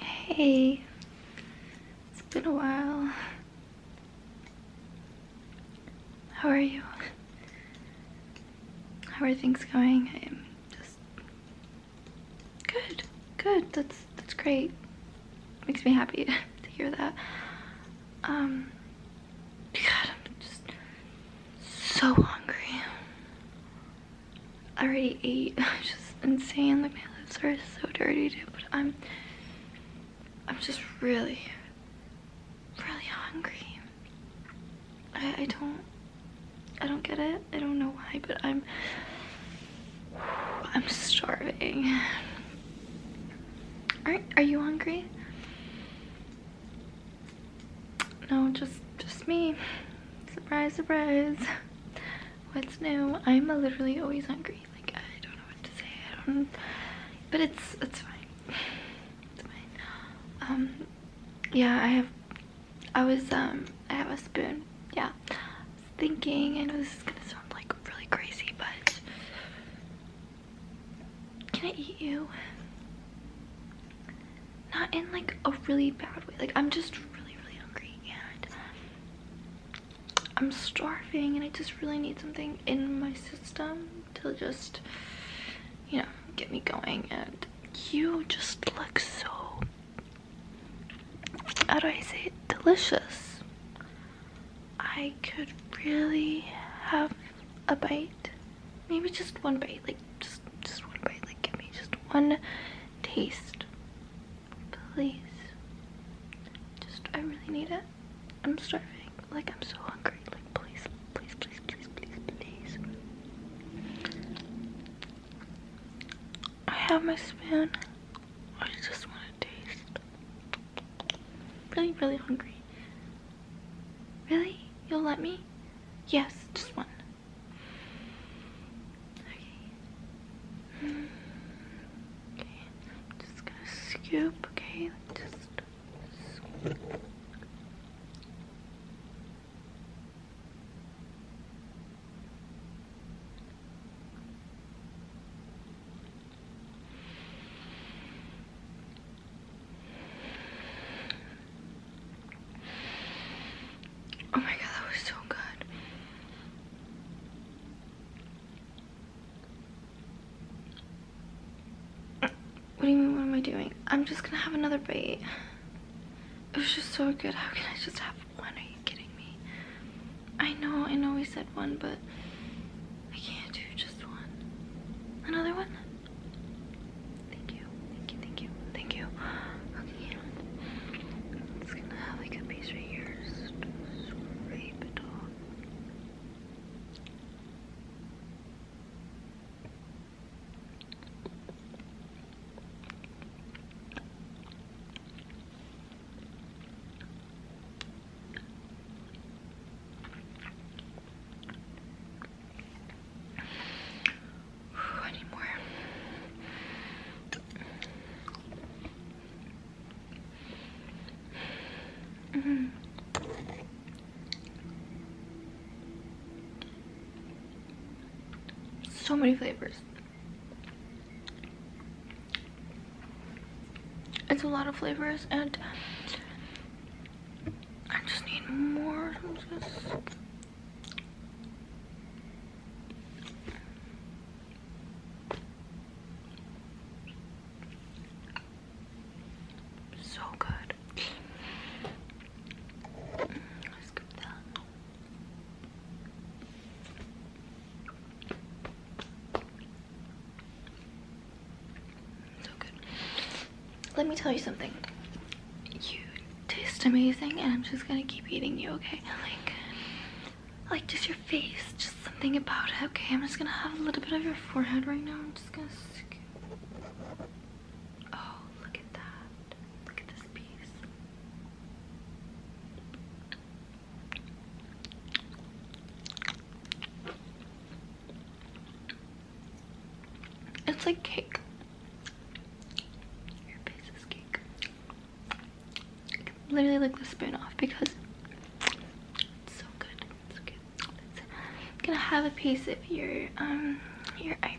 Hey, it's been a while. How are you? How are things going? I'm just good, good. That's that's great. Makes me happy to hear that. Um, God, I'm just so hungry. I already ate. It's just insane. Like my lips are so dirty dude. but I'm I'm just really, really hungry. I, don't I don't get it. I don't know why, but I'm I'm starving. Are, are you hungry? No, just, just me. Surprise, surprise. What's new? I'm literally always hungry. Like, I don't know what to say. I don't, but it's, it's fine. Um, yeah, I have, I was, um, I have a spoon. Yeah. thinking, And know this gonna sound like really crazy, but can I eat you? Not in like a really bad way. Like I'm just really, really hungry and I'm starving and I just really need something in my system to just, you know, get me going. And you just look so, how do I say it? Delicious. I could really have a bite. Maybe just one bite, like just just one bite, like give me just one taste. Please. Just I really need it. I'm starving. Like I'm so hungry. Like please, please, please, please, please, please. I have my spoon. I just want to taste. Really, really hungry. Really? You'll let me? Yes, just one. Okay. Mm, okay, I'm just gonna scoop, okay? Just scoop. Oh my god, that was so good. What do you mean, what am I doing? I'm just gonna have another bite. It was just so good. How can I just have one? Are you kidding me? I know, I know we said one, but I can't do just one. Another one? Thank you, thank you, thank you, thank you. Okay, i gonna have like a piece right here. Whew, -hmm. So many flavors. It's a lot of flavors and I just need more. Just... So good. Mm, let me tell you something. You taste amazing and I'm just gonna keep eating you, okay? Like, like just your face, just something about it, okay? I'm just gonna have a little bit of your forehead right now. I'm just gonna Oh, look at that. Look at this piece. It's like cake. literally lick the spoon off because it's so good. It's good. I'm gonna have a piece of your um your eyebrow.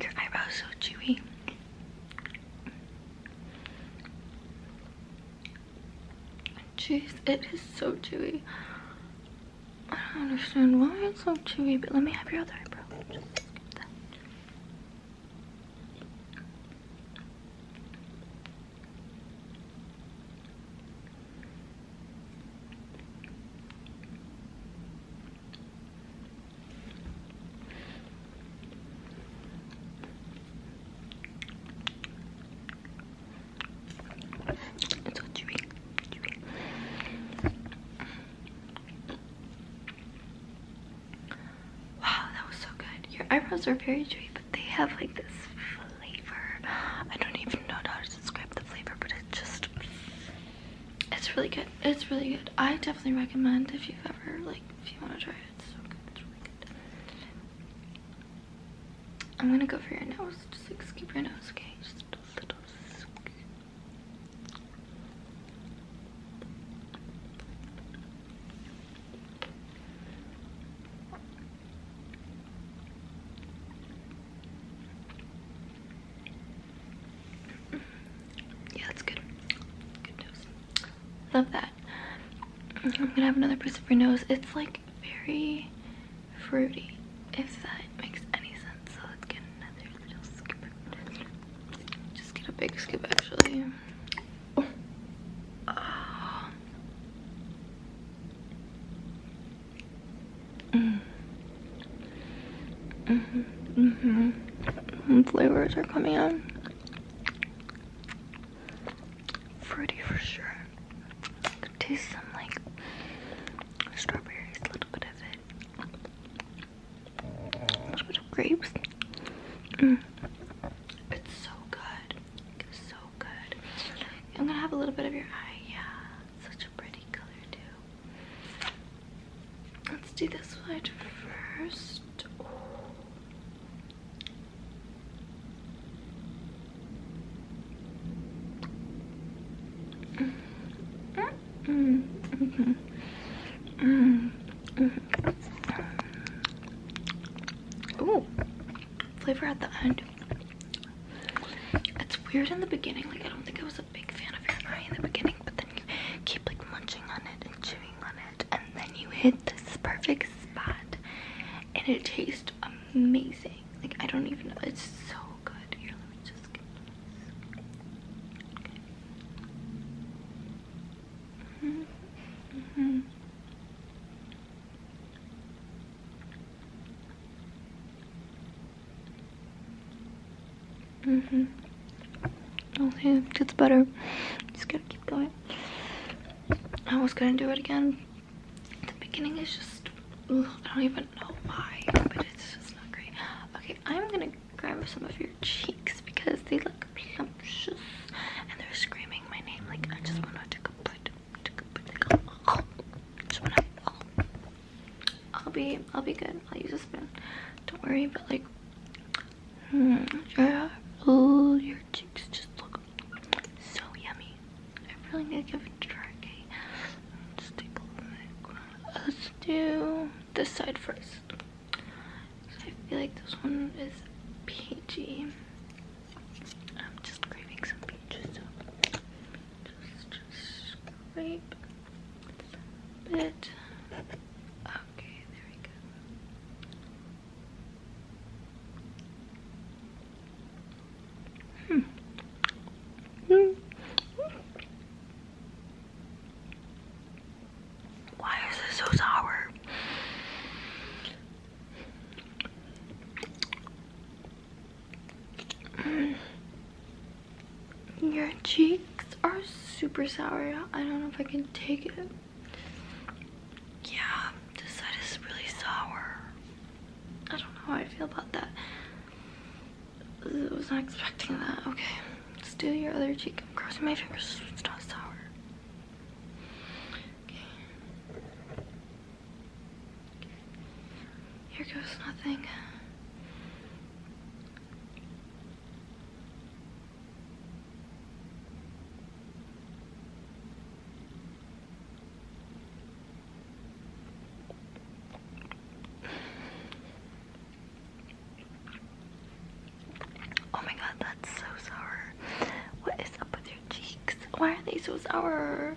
Your eyebrows so chewy. Jeez, it is so chewy. I don't understand why it's so chewy, but let me have your other eyebrow. It's so chewy, Wow, that was so good. Your eyebrows are very chewy, but they have like this flavor. I don't even know how to describe the flavor, but it just it's really good. It's really good. I definitely recommend if you've ever like if you want to try it. It's so good. It's really good. I'm gonna go for your nose. Just like scoop your nose, okay? Just a little scoop. Yeah, that's good. Love that. Mm-hmm, I'm gonna have another piece of your nose. It's like very fruity, if that makes any sense. So let's get another little scoop. Just get a big scoop, actually. Oh. Mm. Mm-hmm. Mm-hmm. Flavors are coming out. Fruity for sure. I could taste some like strawberries, a little bit of it. A little of grapes. Mm. It's so good so good. I'm gonna have a little bit of your eye. Yeah, such a pretty color too. Let's do this side first. Ooh, flavor at the end. It's weird in the beginning, like I don't think I was a big fan of your eye in the beginning, but then you keep like munching on it and chewing on it, and then you hit this perfect spot, and it tastes amazing. Like I don't even know, it's so good. Here, let just get Mm-hmm. Okay, oh, it's better. Just gotta keep going. I was gonna do it again. The beginning is just, I don't even know why, but it's just not great. Okay, I'm gonna grab some of your cheeks because they look plumpish and they're screaming my name like I just wanna take a bite. I, will be, I'll be good. I'll use a spoon. Don't worry. But like, oh, your cheeks just look so yummy. I really need to give it a try. Let's do this side first. I feel like this one is peachy. I'm just craving some peaches, Okay, there we go. Hmm. Hmm. Why is this so sour? Your cheeks are super sour. I don't know if I can take it. Yeah, this side is really sour. I don't know how I feel about that. I was not expecting that. Okay, let's do your other cheek. i crossing my fingers it's not sour. Here goes nothing. Oh my god, that's so sour. What is up with your cheeks? Why are they so sour?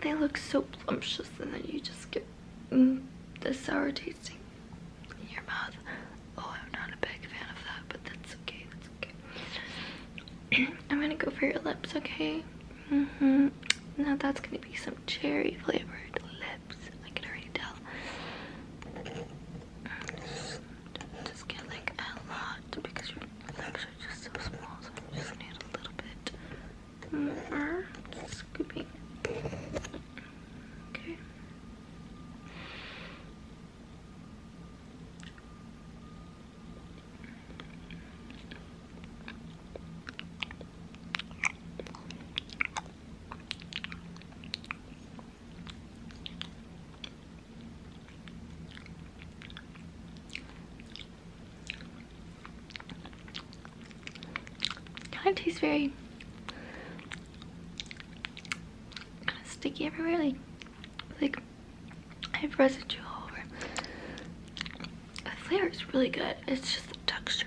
They look so plumptious and then you just get mm, this sour tasting in your mouth. Oh, I'm not a big fan of that, but that's okay, that's okay. I'm gonna go for your lips, okay? Mm hmm Now that's gonna be some cherry flavored lips. I can already tell. Just get like a lot because your lips are just so small, so I just need a little bit more scooping. Okay. Kind of tastes very sticky everywhere, like like I have residue all over. The flavor is really good. It's just the texture.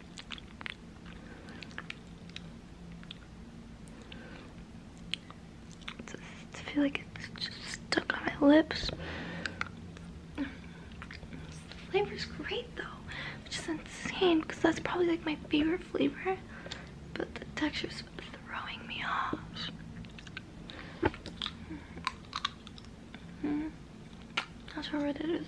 I feel like it's just stuck on my lips. The flavor's great though, which is insane because that's probably like my favorite flavor, but the texture is throwing me off. Mm-hmm. That's how it is.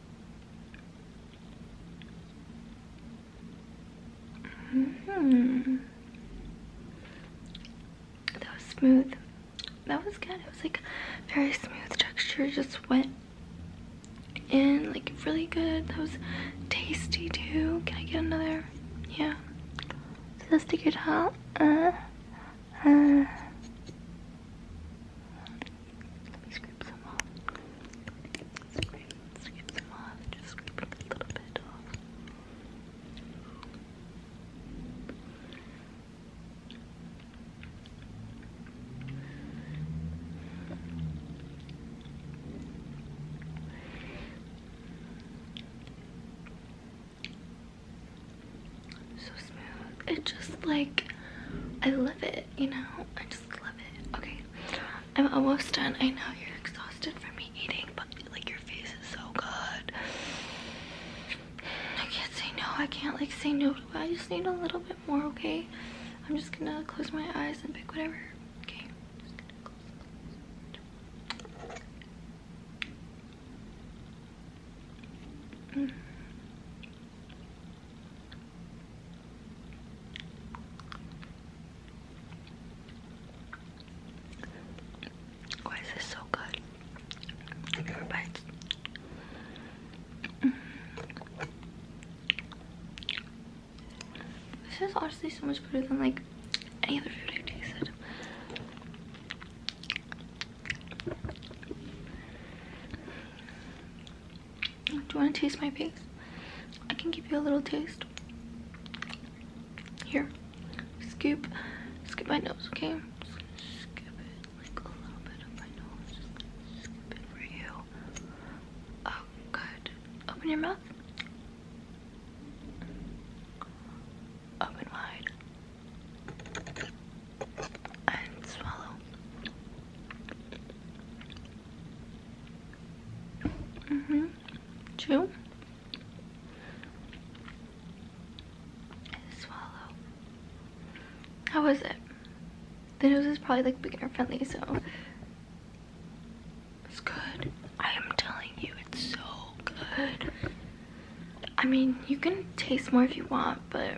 Mm-hmm. That was smooth. That was good. It was like very smooth texture. Just went in like really good. That was tasty too. Can I get another? Yeah. So let's take your towel. Uh, uh. Let me scrape some off. Scrape, scrape some off. Just scrape a little bit off. So smooth. It just like, I love it, you know? I just love it. Okay, I'm almost done. I know you're exhausted from me eating, but like your face is so good. I can't say no. I can't like say no. I just need a little bit more, okay? I'm just gonna close my eyes and pick whatever. Okay. Why is this so good? More bites. This is honestly so much better than like any other food I've tasted. Do you want to taste my face? I can give you a little taste. Here, scoop, scoop my nose, okay? Oh, Open your mouth. Open wide and swallow. hmm Chew. And swallow. How was it? The nose is probably like beginner friendly, so it's good. I am telling you, it's so good. I mean, you can taste more if you want, but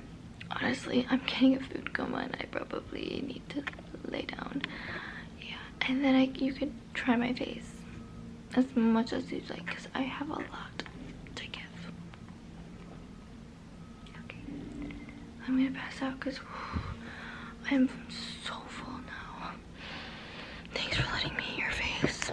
honestly, I'm getting a food coma and I probably need to lay down. Yeah, and then I, you can try my face as much as you like because I have a lot to give. I'm gonna pass out because I'm so full now. Thanks for letting me your face.